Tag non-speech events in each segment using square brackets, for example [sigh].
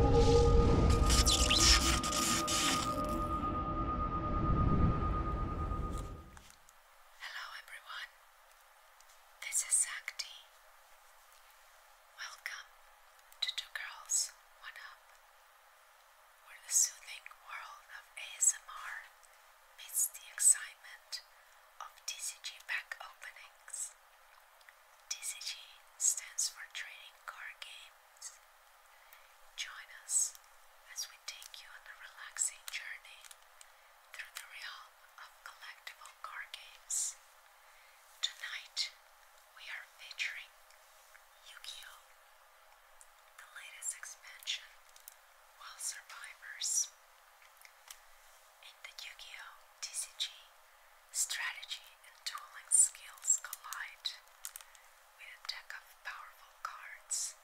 Hello everyone. This is Sakti. Welcome to Two Girls One Up, where the soothing world of ASMR meets the excitement of TCG pack openings. TCG stands for Trading Card Games. Join us as we take you on a relaxing journey through the realm of collectible card games. Tonight, we are featuring Yu Gi Oh! The latest expansion, Wild Survivors. In the Yu Gi Oh! TCG, Strategy and tooling skills collide with a deck of powerful cards.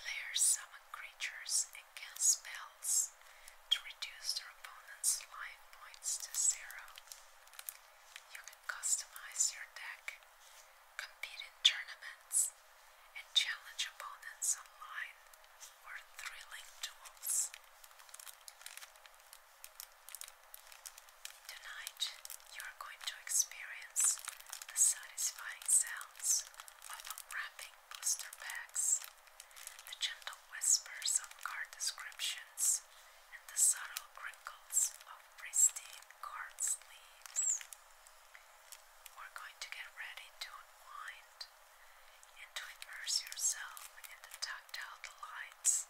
Players summon creatures and cast spells to reduce their opponent's life points to zero. You can customize your deck, compete in tournaments, and challenge opponents online for thrilling duels. Tonight, you are going to experience the satisfying sounds of unwrapping booster packs, the gentle whispers of card descriptions, and the subtle crinkles of pristine card sleeves. We're going to get ready to unwind and to immerse yourself calm in the tactile lights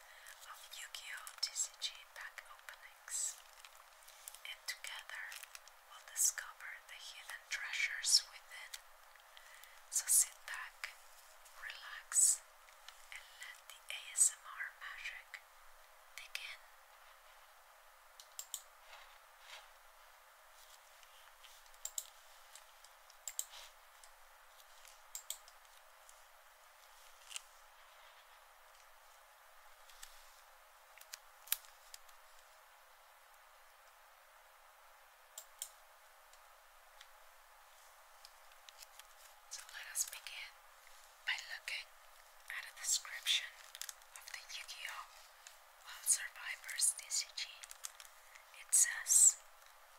of Yu-Gi-Oh! TCG pack openings. And together we'll discover the hidden treasures within. So sit back, relax, and let the ASMR magic begin. So let us begin by looking at a description of the Yu Gi Survivors DCG. It says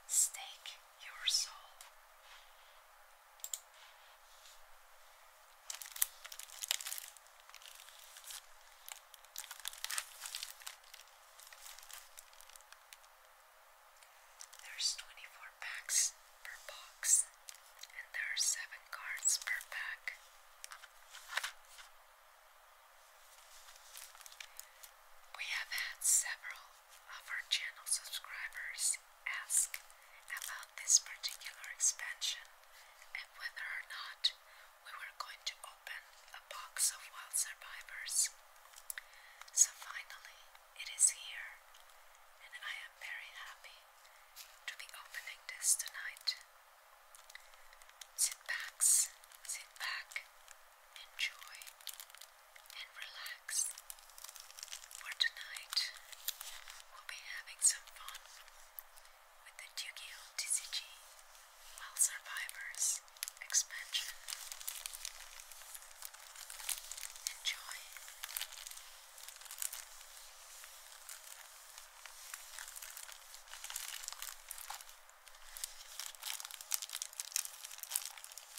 Stake your soul. There's 24 packs per box, and there are 7 cards per pack. We have had several of our channel subscribers ask about this particular expansion and whether or not we were going to open a box of wild survivors. So finally, it is here, and I am very happy to be opening this tonight. Sit back, sit back, enjoy, and relax. For tonight, we'll be having some fun with the Duke of oh TCG Well Survivors expansion. Enjoy.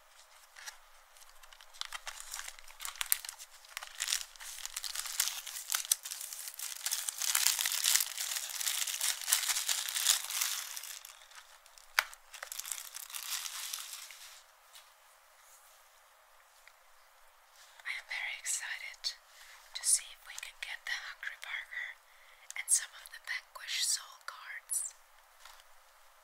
I am very excited to see if we can get the Hungry Burger and some of the Vanquish Soul cards.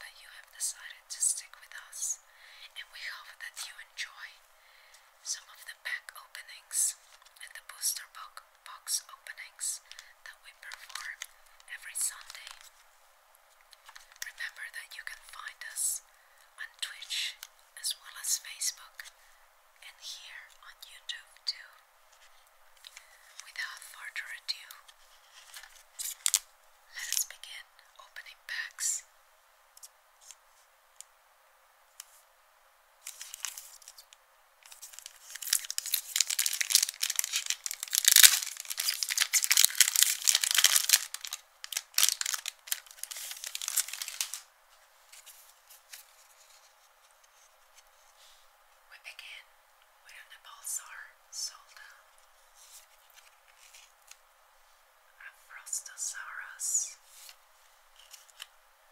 that you have decided to stick with us, and we hope that you enjoy some of the pack openings and the booster box openings that we perform every Sunday. Remember that you can find us on Twitch as well as Facebook and here on YouTube too. Without further ado, let us begin opening packs. We begin where nipples are sold out. A Frostosaurus,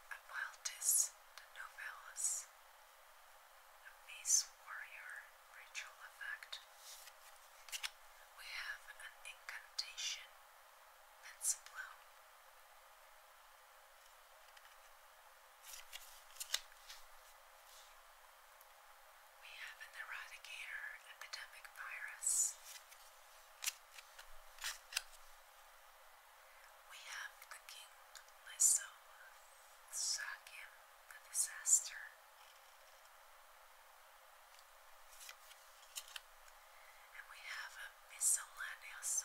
a Wildis Nobilis, a Beast Warrior Ritual Effect. We have an incantation that's blown. We have an eradicator epidemic virus. We have the King Lysoma, Sakim, the disaster. And we have a miscellaneous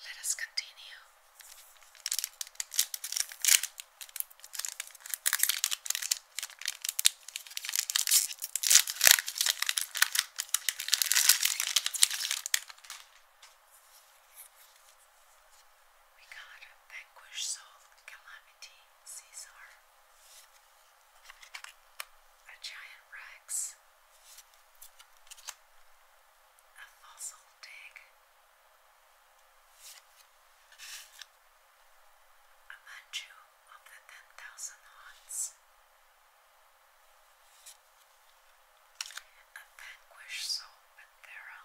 Let us continue. We got vanquished soul calamity, Caesar a giant rex, a fossil dig, a manchu of the ten thousand haunts, a vanquished soul panthera,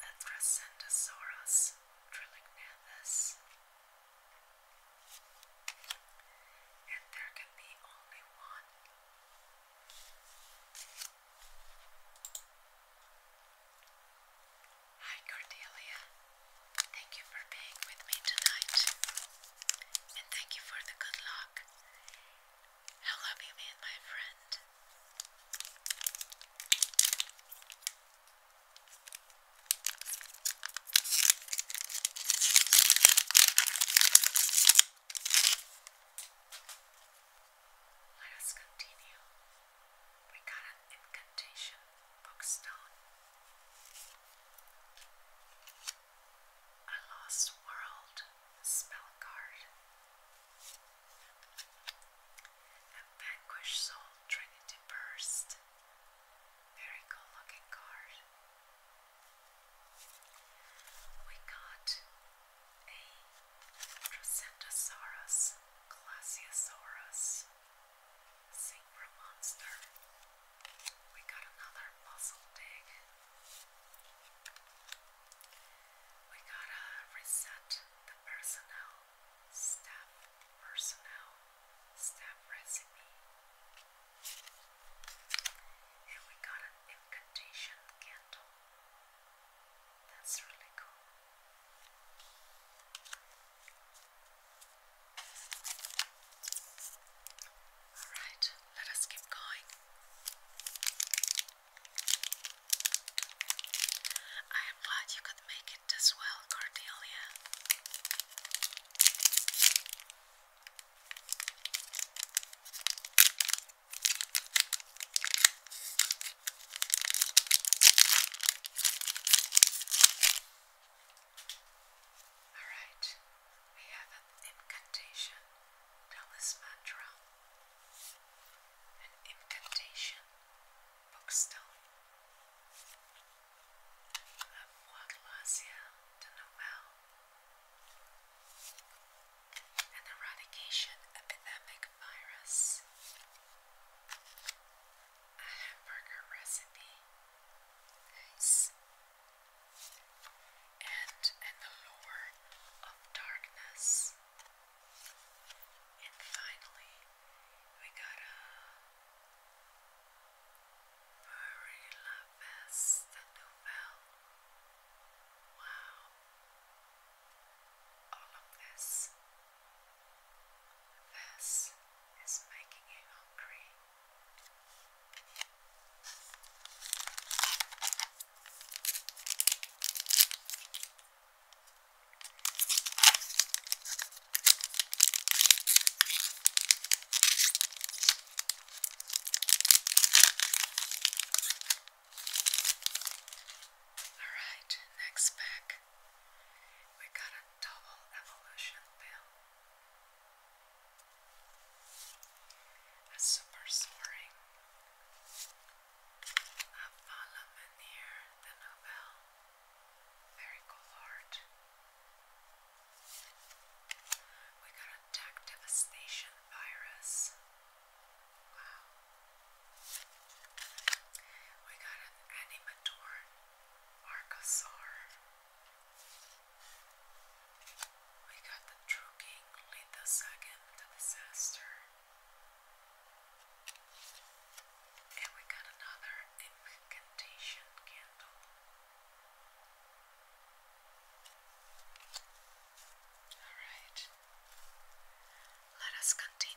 Athracentosaurus trilognathus. And there can be only one. Hi Cordelia. Thank you for being with me tonight. And thank you for the good luck. Hello, you, me my friend. Let us continue. We got an incantation bookstone. A lost world spell card. A vanquished soul trinity burst. Very cool looking card. We got a Drosendosaurus, Glasiosaurus, Zebra We got another muzzle dig. We got a reset personnel, staff personnel, staff recipe. And we got an incantation candle. That's really cool. Alright, let us keep going. I am glad you could make it as well, Cordelia. All right, we have an incantation, talisman drum an incantation bookstone of Waglazia de Noel, an eradication epidemic virus, a hamburger recipe, nice, and an allure of darkness. And finally, we got a very Lopez novel. Wow. All of this. This is making you hungry. Alright, next pack we got a double evolution pill. A super soaring a Palamenir the Nobel. Very cool We got a Duck Devastation Virus. Wow. We got an Animator Archosaur. We got the True King Lithosagan, the disaster. And we got another incantation candle. Alright, let us continue.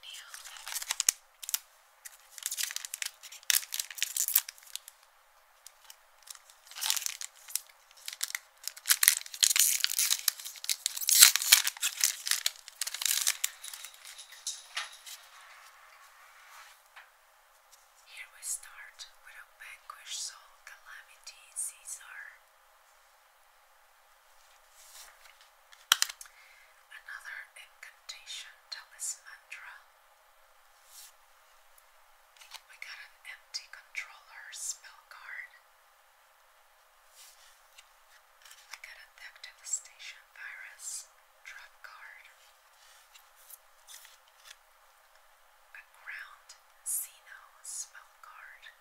Here we start with a vanquish soul calamity Caesar. Another incantation talismandra. We got an empty controller spell card. I got a Thug Devastation Virus drop card, a Ground Sino spell card,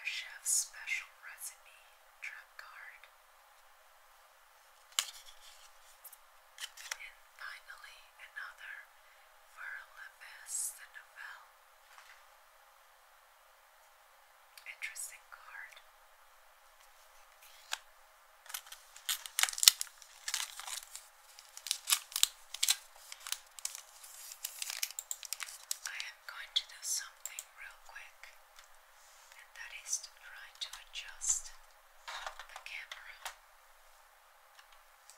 a Chef's Special Recipe drop card, and finally another Verla the Novel Interesting card. I am going to do something real quick, and that is to try to adjust the camera.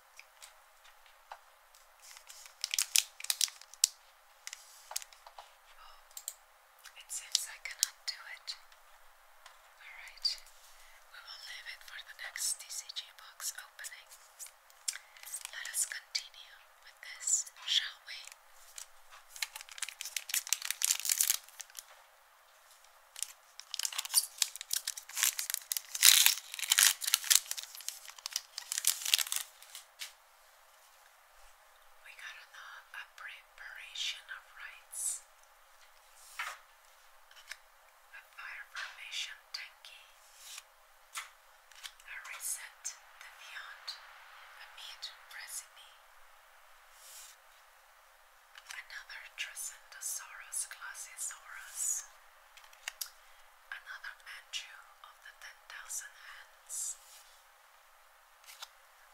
Oh, it seems I cannot do it. Alright, we will leave it for the next DCG box opening. Let us continue with this, shall we? We got an uh, appropriation of rights. A fire formation tanky. A reset the beyond a meat recipe. Another Tricentosaurus Glossosaurus another angel of the ten thousand hands.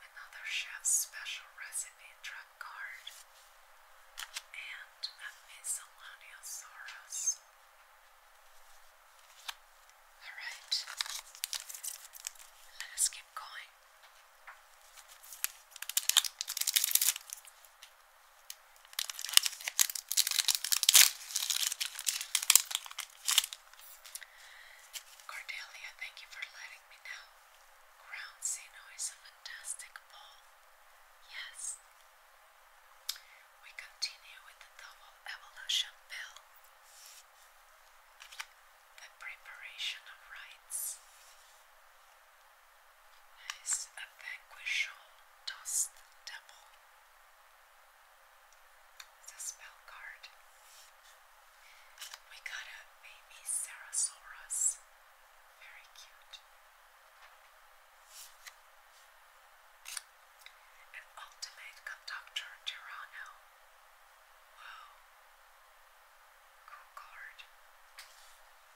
Another chef's special recipe drug card and a miscellaneosaurus. Alright, let's keep going. Cordelia, thank you for letting me know. Ground Zeno is a fantastic ball. Yes. We continue with the double evolution pill. The preparation of rites. As a vanquish dost devil. It's a spell card. We got a baby Sarasaurus. Very cute. An ultimate conductor Tirano. Wow. Cool card.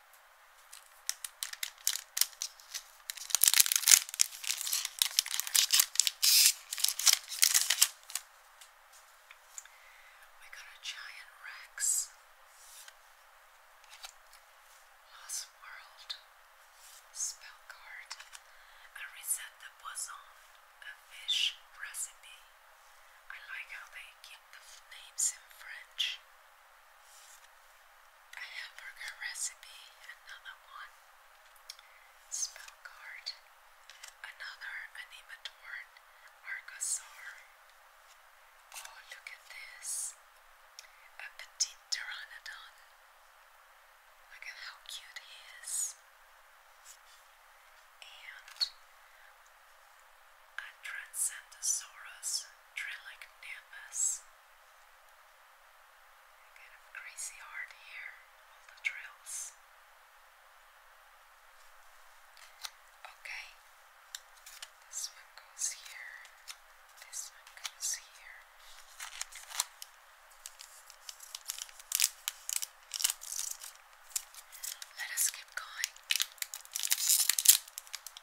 We got a giant Rex, Lost World, Spell Card, a reset the boson, a fish recipe. I like how they keep the names in French. A hamburger recipe, another one. Spell card, another animatorn, Argosaur. Oh, look at this. A petite pteranodon. Look at how cute he is. And a Transcendosaurus Trilacnambus. Kind crazy hard here, all the drills. Okay, this one goes here, this one goes here. Let us keep going.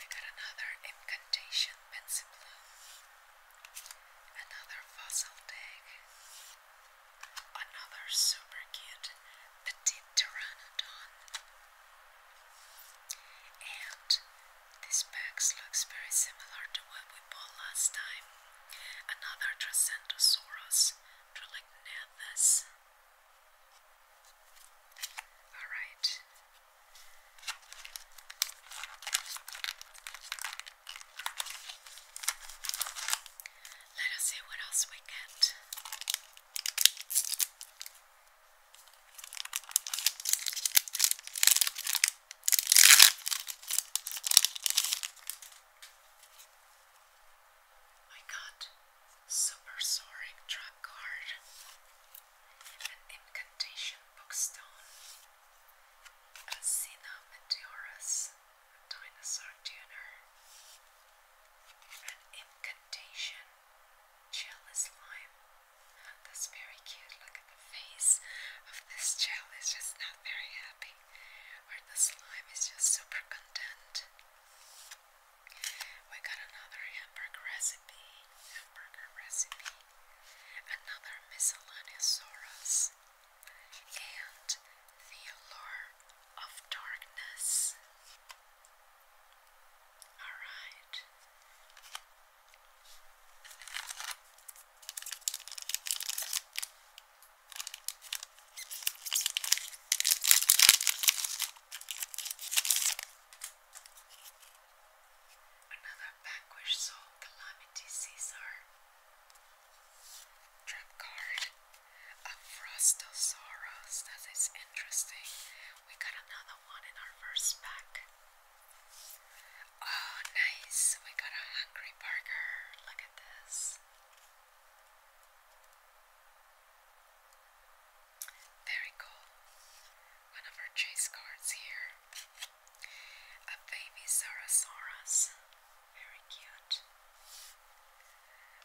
We got another incantation pencil another fossil dig, another super cute petit pteranodon, and this box looks very similar to what we bought last time. Another Tracentosaurus, Trolignathus. All right. Let us see what else we get. I got Supersoric Track Card, an Incantation Bookstone, a Sina Meteorus, a Dinosaur Tuner, an Incantation Chalice slime. That's very cute. Look at the face of this gel, it's just not very happy, where the slime is just super content. We got another hamburger recipe, hamburger recipe, another miscellaneous, and the allure of darkness. Alright. Another backward soul calamity Caesar. Trump card. A frostal sorrows. That is interesting. We got another one in our first pack. Oh, nice. We got a hungry burger. Look at this. Very cool. One of our chase cards here. A baby Sarasaurus. Very cute.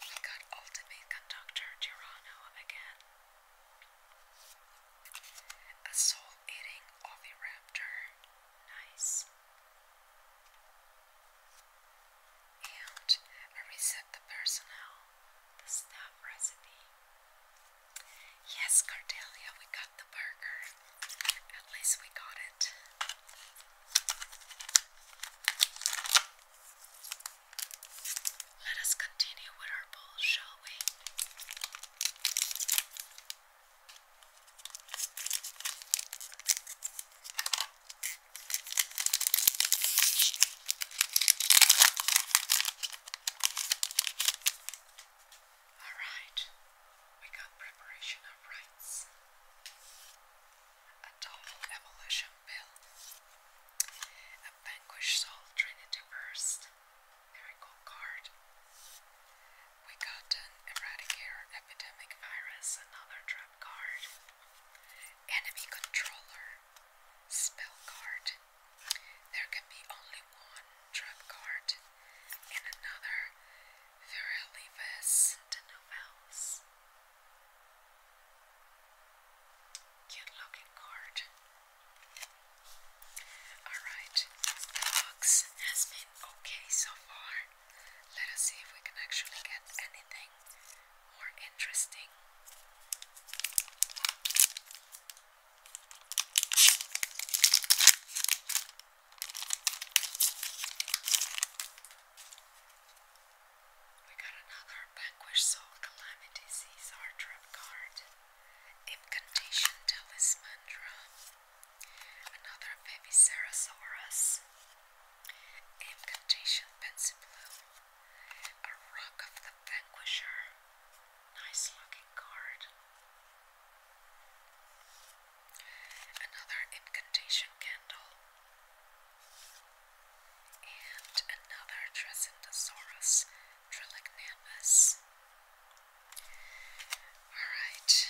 We got Ultimate Conductor Tirano again. A soul eating Oviraptor. Nice and I reset the personnel, the stop recipe. Yes, Cardelia, we got the burger. At least we got it. Let us continue with our bowl, shall we? All right, we got preparation of rights. A total evolution bill. A vanquished soul trinity burst. Miracle card. We got an eradicator epidemic virus, another trap card enemy controller spell card. There can be only one trap card and another Virelivus Denovels. Cute looking card. Alright, the box has been okay so far. Let us see if we can actually get anything more interesting. We got another Vanquish Soul Calamity's Hard Trap card. Incantation Talisman Another Baby Sarasaurus. Incantation Betsy Blue, a Rock of the Vanquisher, nice looking card. Another Incantation Candle, and another Dressendosaurus Trillignanus. Alright.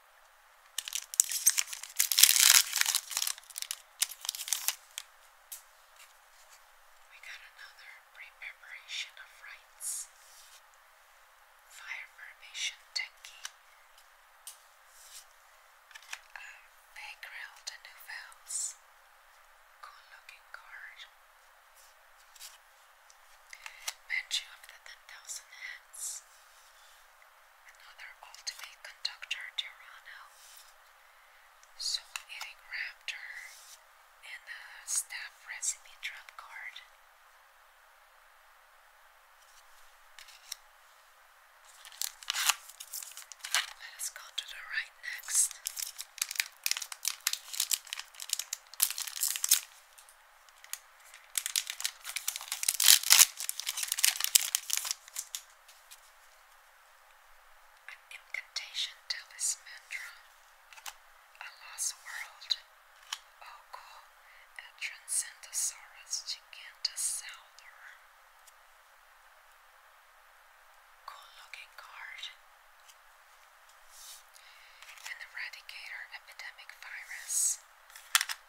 We got another pre-preparation of rites. Fire formation techie. Um, they grilled a new valves. Cool looking card. Manchu of the 10,000 Hands another ultimate conductor Tyranno, Soul Eating Raptor, and a Staff Recipe Trump card. Let us go to the right next. An incantation tells mantra. A lost world. Oko, oh, a transcendosaurus gigantosaur. Cool looking card. An eradicator epidemic virus.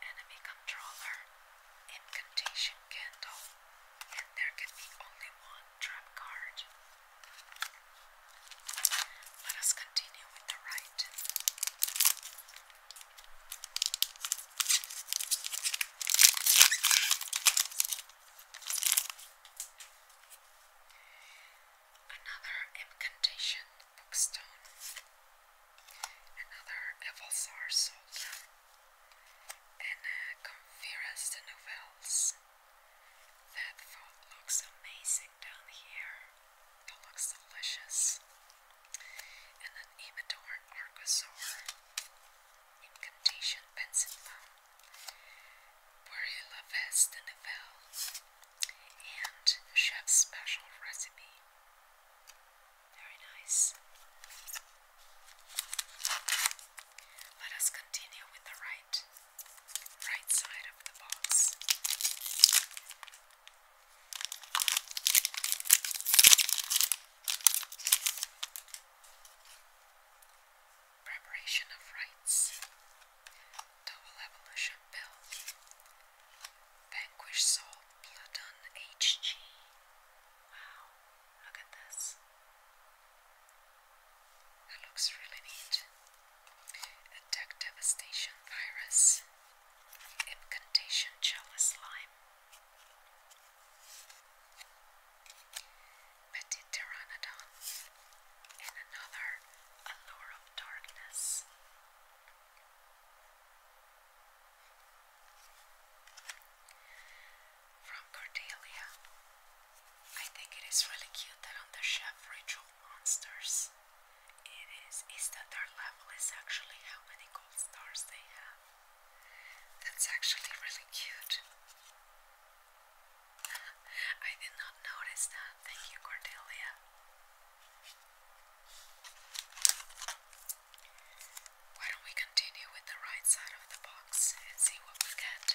Enemy controller. Incantation Candle, and there can be only one trap card. Let us continue with the right. Another incantation bookstone. Another Evalsar Solda and uh, Conferas the Novels. That food looks amazing down here. That looks delicious. And an Emador Argosaur. Incantation Pencil Bone. Burilla Vest the Novels. And Chef's Special Recipe. Very nice. Let us continue with the right right side of the box. Preparation of rights. Double evolution pill. Vanquish Soul Platon HG. Wow, look at this. That looks really neat. Attack Devastation Virus. Incantation Chalice Slime. Pteranodon. And another Allure of Darkness. From Cordelia. I think it is really cute that on the chef ritual monsters it is is that their level is actually how many gold stars they have. That's actually really cute. [laughs] I did not notice that. Thank you, Cordelia. Why don't we continue with the right side of the box and see what we get?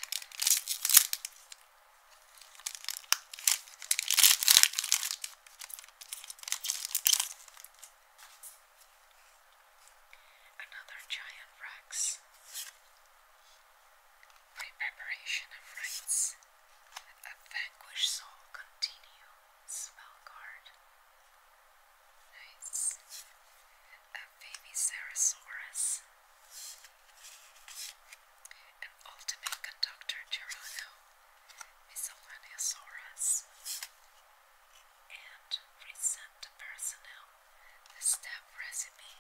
Another giant Rex. Preparation of rites. A vanquished soul continues. Spell card. Nice. A baby ceratosaurus. An ultimate conductor Gerudo. Miscellaneosaurus. And recent personnel. The step resume.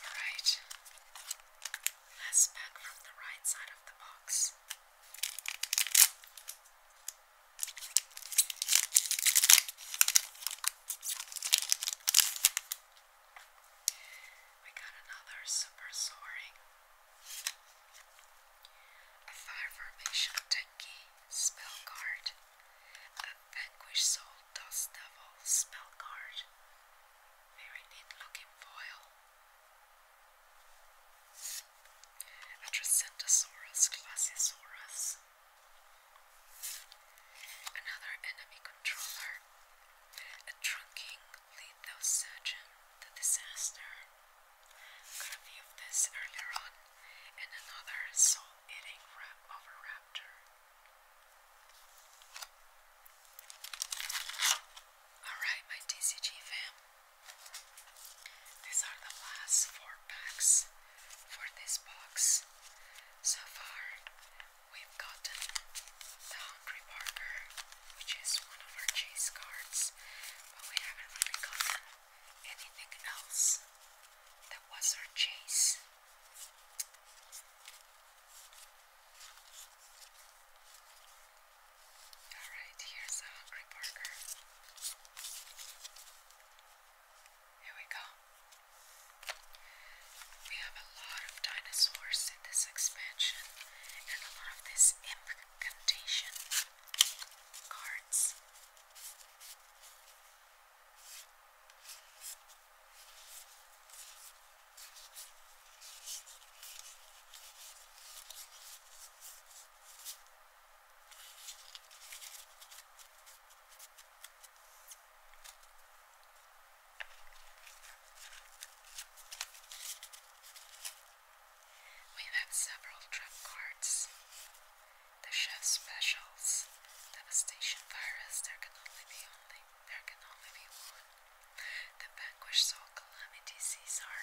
Alright. let from the right side of the box this. We got another super soaring. A fire formation Tenki spell card. A vanquish soul dust devil spell card. Very neat looking foil. A Atracentosaurus glaciasaurus. Another enemy controller, a trunking lithosurgeon, the disaster. Got a this earlier on, and another soul eating rap Alright, my TCG fam. These are the last four packs for this box. So far, we've gotten the Hungry Parker, which is one of our chase cards, but we haven't really gotten anything else that was our chase. Alright, here's a uh, hungry burger. Here we go. We have a lot of dinosaurs in this expansion and a lot of these incantation cards. We've several trump cards. The chef's specials. Devastation virus. There can only be only there can only be one. The vanquished saw Calamity Caesar.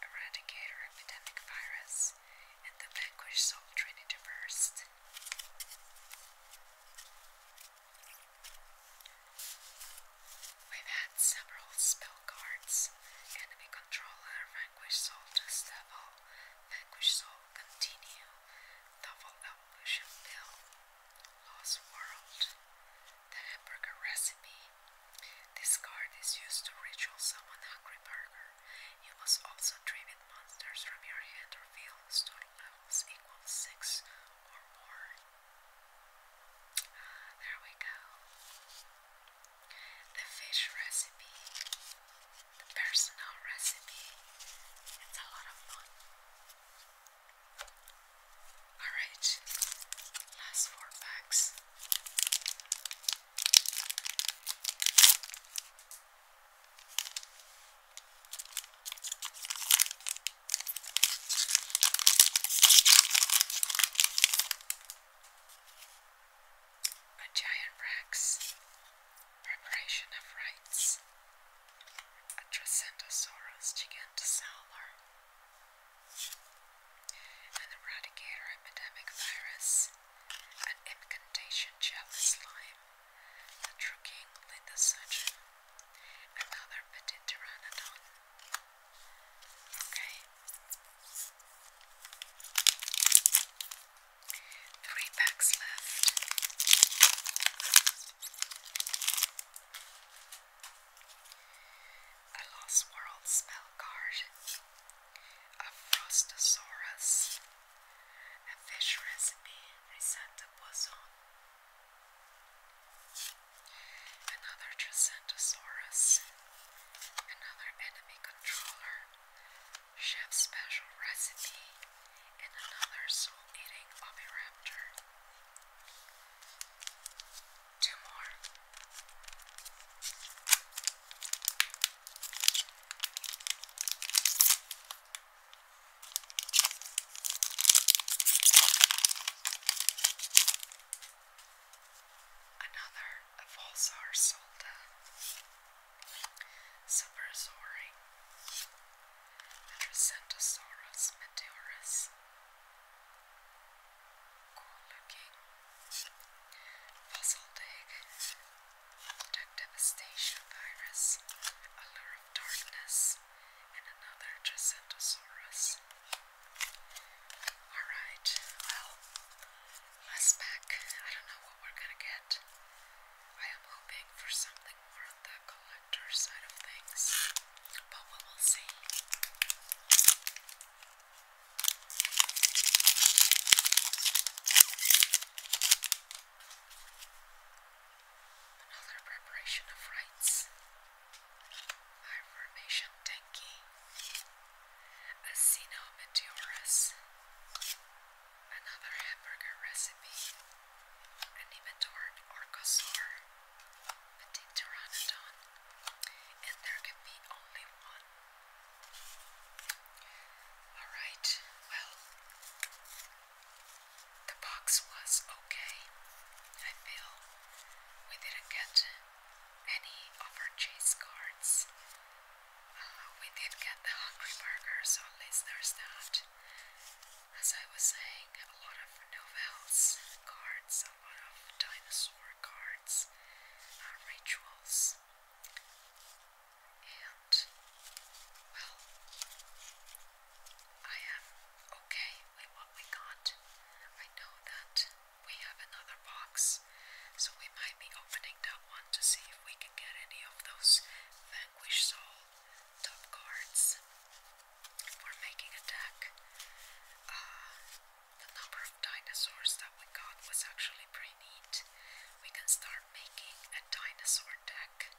Eradicator epidemic virus, and the vanquished soul trinity burst. We've had several spell cards. Enemy control, vanquished soul to stable, vanquished soul continue, double evolution bill. Lost World, the hamburger recipe. This card is used to ritual summon a hamburger. You must also tribute monsters from your hand or field whose total levels equals six or more. There we go. The fish recipe, the personal recipe. It's a lot of fun. Alright, last four packs. A giant Rex, Preparation of rights. A Tracentosaurus gigantosaur. An eradicator epidemic virus. An incantation jelly slime. The true king Another petit pteranodon. Okay. Three packs left. A Lost World spell card. A Frostosaurus. A fish recipe. Risanta Poison. Another Tricentosaurus. Another enemy controller. Chef special recipe and another soul eating of a Two more. Another Volsar Solda. Superzori, Metrocenthosaurus meteorus, cool looking, fossil dig, Duck devastation virus, allure of darkness, and another Tricenthosaurus. Alright, well, let's pack. I don't know what we're gonna get. I am hoping for something more the collector side of things, but we will see. Another preparation of rights. Formation Denki. Acenometeorus. Another hamburger recipe. Animator Orcosaur. Petite Pteranodon. And there can be only one. Alright, well, the box was okay. I feel we didn't get any of our chase cards. Uh, we did get the Hungry Burger, so at least there's that as I was saying, a lot of novels cards, a lot of dinosaur cards, uh, rituals, and well, I am okay with what we got. I know that we have another box, so we might be opening that one to see if we can get any of those vanquished souls top cards for making a deck. Uh, the number of dinosaurs that we got was actually pretty neat. We can start making a dinosaur deck.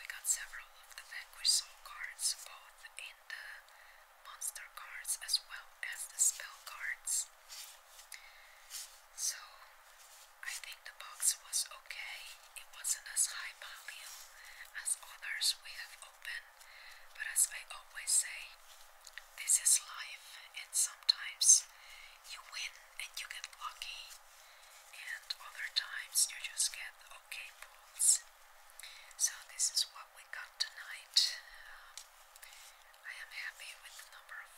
We got several of the Vanquish Soul cards, both in the monster cards as well as the spell cards. So I think the box was okay. It wasn't as high value as others we have opened, but as I always say, this is life, and sometimes you win and you get lucky, and other times you just get okay pulls. So, this is what we got tonight. Um, I am happy with the number of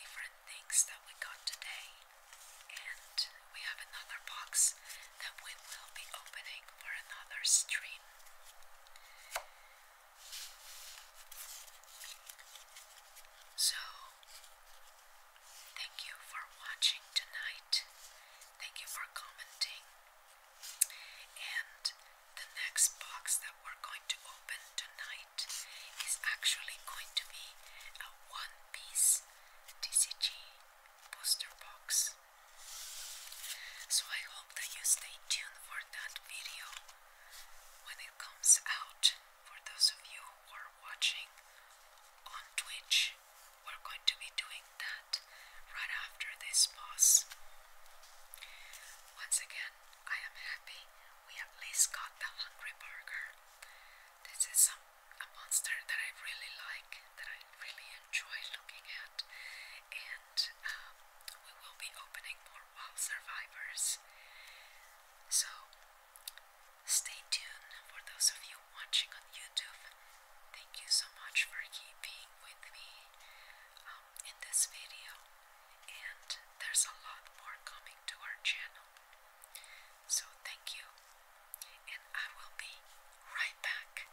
different things that we got today. And we have another box that we will be opening for another stream. So, thank you for watching tonight. Thank you for commenting. And the next box that we're going to open tonight is actually going to be a one piece TCG poster box. So I hope that you stay tuned for that video when it comes out. For those of you who are watching on Twitch, we're going to be doing that right after this boss. Once again, I am happy we at least got the Hungry Burger. This is a, a monster that I really like, that I really enjoy looking at, and um, we will be opening more wild survivors. So stay tuned for those of you watching on YouTube. Thank you so much for keeping with me um, in this video, and there's a lot more coming to our channel. So thank you, and I will be right back.